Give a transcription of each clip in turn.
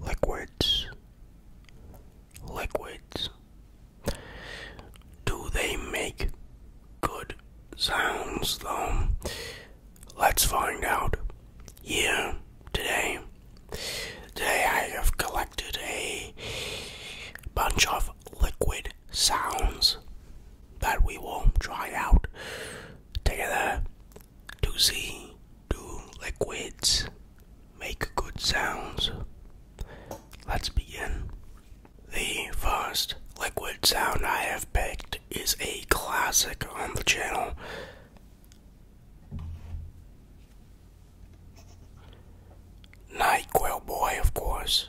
Liquids liquids. Do they make good sounds though? Let's find out here today. Today I have collected a bunch of liquid sounds that we will try out together to see, do liquids make good sounds? Let's begin. The first liquid sound I have picked is a classic on the channel. NyQuil Boy, of course.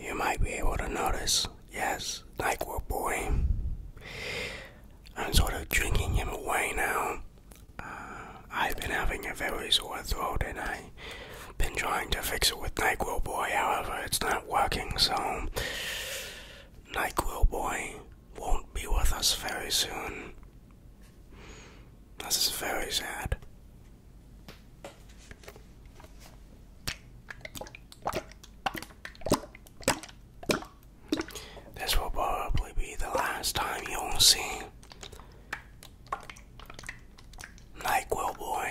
You might be able to notice, yes, like we boy. I'm sort of drinking him away now. Uh, I've been having a very sore throat and I've been trying to fix it with NyQuil Boy, however, it's not working, so NyQuil Boy won't be with us very soon. This is very sad. This will probably be the last time you'll see NyQuil Boy.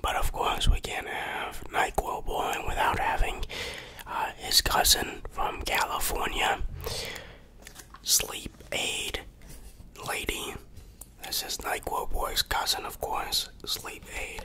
But of course, we can't have NyQuil boiling without having uh, his cousin from California, Sleep Aid Lady. This is NyQuil Boy's cousin, of course, Sleep Aid.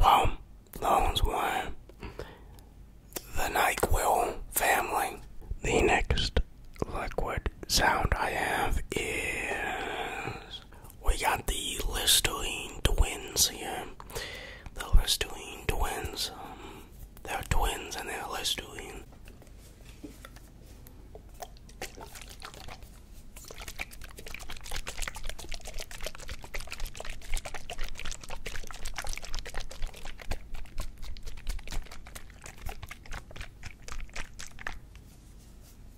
Well, those were the NyQuil family. The next liquid sound I have is. We got the Listerine twins here. The Listerine twins. Um, they're twins and they're Listerine.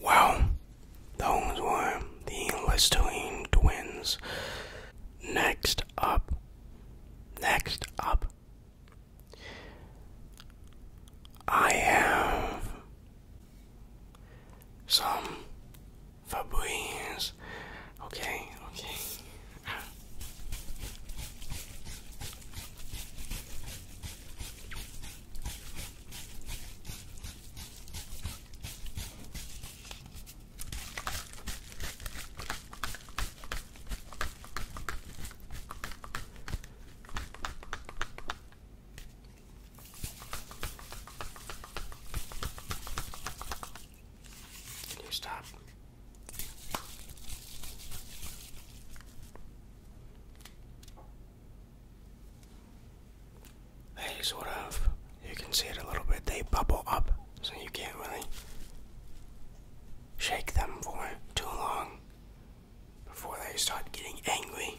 Well, those were the Listerine twins. Next up, next up, I have some Fabulous. Okay, okay stop? They sort of, you can see it a little bit, they bubble up, so you can't really shake them for too long before they start getting angry.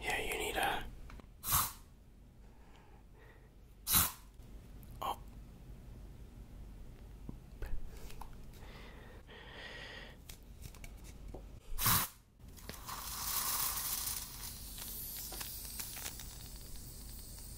Yeah, you need a. Oh.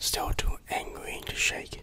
Still too angry to shake.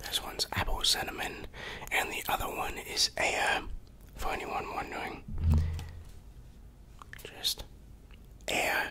This one's apple cinnamon, and the other one is air. for anyone wondering, just air.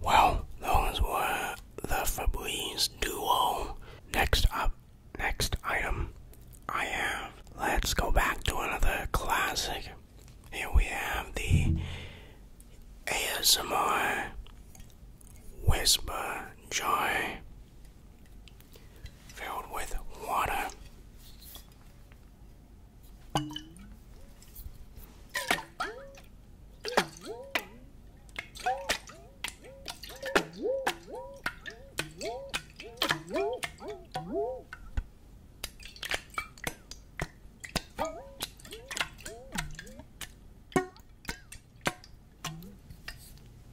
Well, those were the Febreze duo. Next up, next item I have. Let's go back to another classic. Here we have the ASMR Whisper Joy filled with water.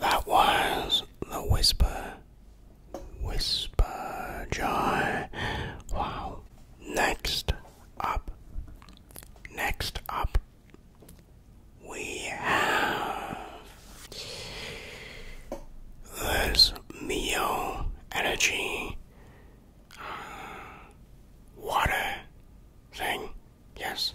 That was the whisper, whisper joy. Wow. Next up, next up we have this Mio Energy uh, water thing, yes.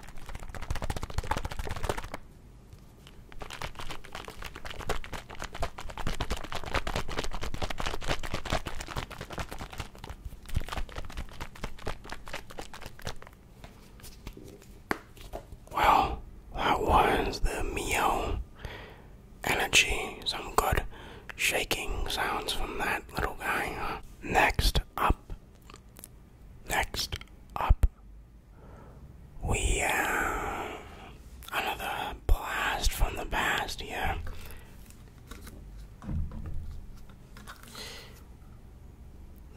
Well, that was the Mio energy. Some good shaking sounds from that little guy. Next up Next up, we have another blast from the past here.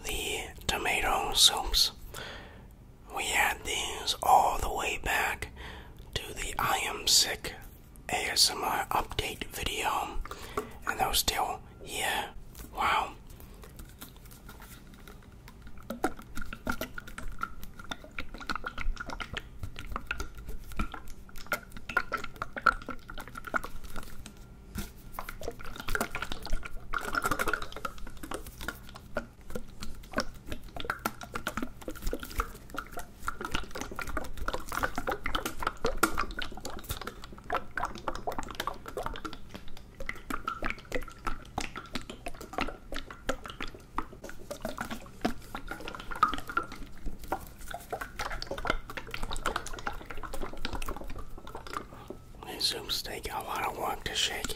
The tomato soups. We had these all the way back to the I Am Sick ASMR update video, and they're still yeah. Wow. This soup's take a lot of work to shake.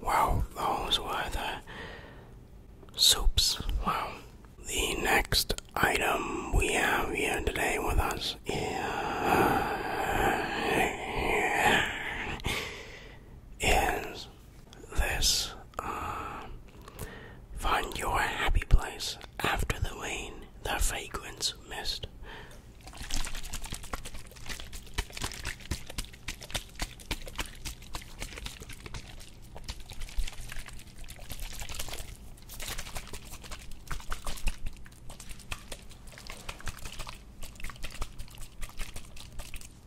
Well, those were the soups. Well, The next item we have here today with us is this um, Find your happy place after the rain, the fragrance mist.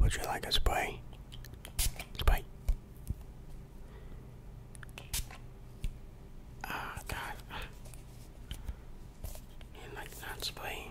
Would you like a spray? Spray. Ah, God. You like that spray?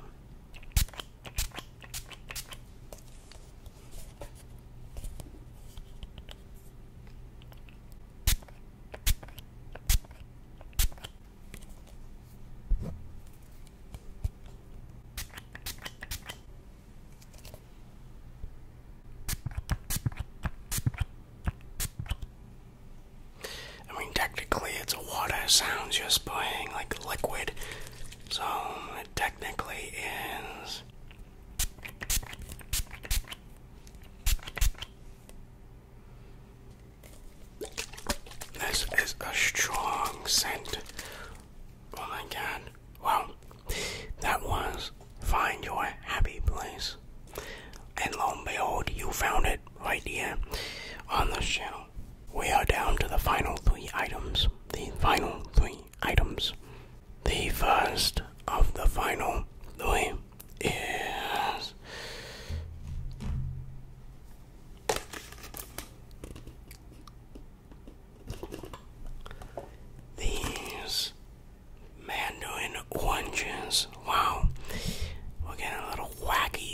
I mean, technically, it's a water sound just playing like liquid, so it technically is. This is a strong scent. Oh my god. Well, that was Find Your Happy Place. And lo and behold, you found it right here on this channel. We are down to the final three items. The final three items. The first of the final three is these mandarin oranges. Wow, we're getting a little wacky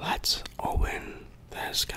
Let's open this guy.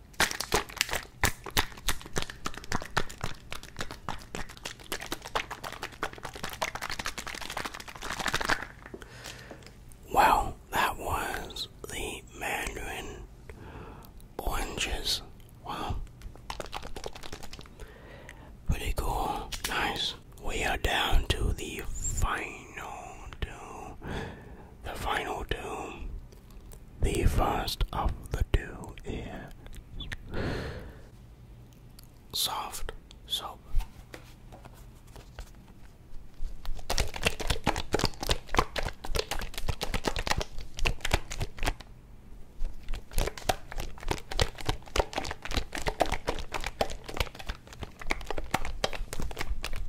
Well, that was the Mandarin oranges. Wow. Pretty cool. Nice. We are down to the final two. The final two. The first of the two is soft soap.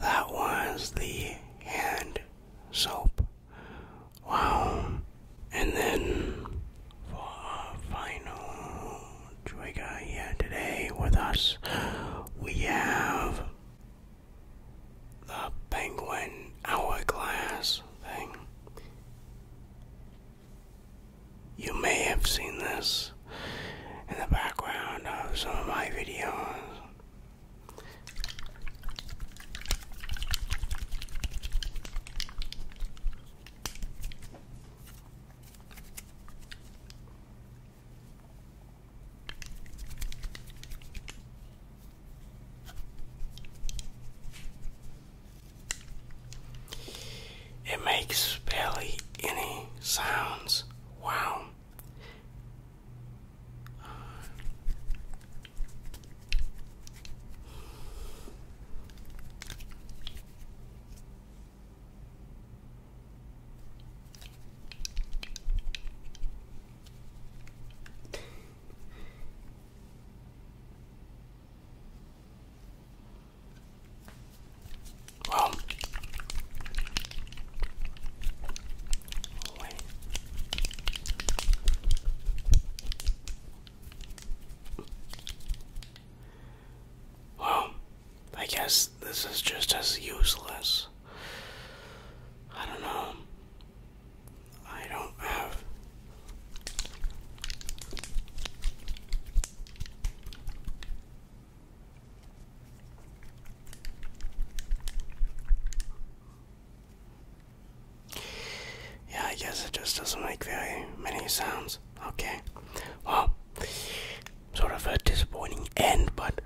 That was the hand soap. Wow. And then for our final trigger here today with us, we have the penguin hourglass thing. You may have seen this in the background of some of my videos. It makes barely any sounds. Wow. Well, wait. Well, I guess this is just as useless. I don't know. I don't have. Yeah, I guess it just doesn't make very many sounds. Okay. Well, sort of a disappointing end, but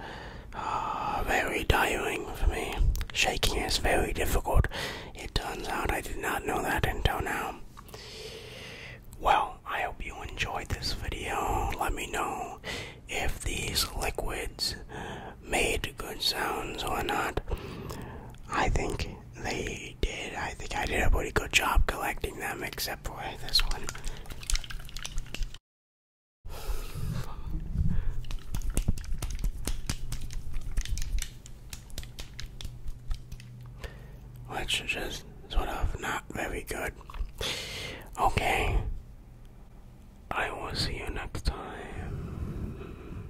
uh, very tiring for me. Shaking is very difficult. It turns out I did not know that until now. Well, I hope you enjoyed this video. Let me know if these liquids made good sounds or not. I think they did. I think I did a pretty good job collecting them, except for this one. Which is sort of not very good. Okay. I will see you next time.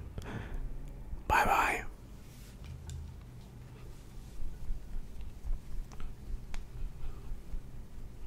Bye bye.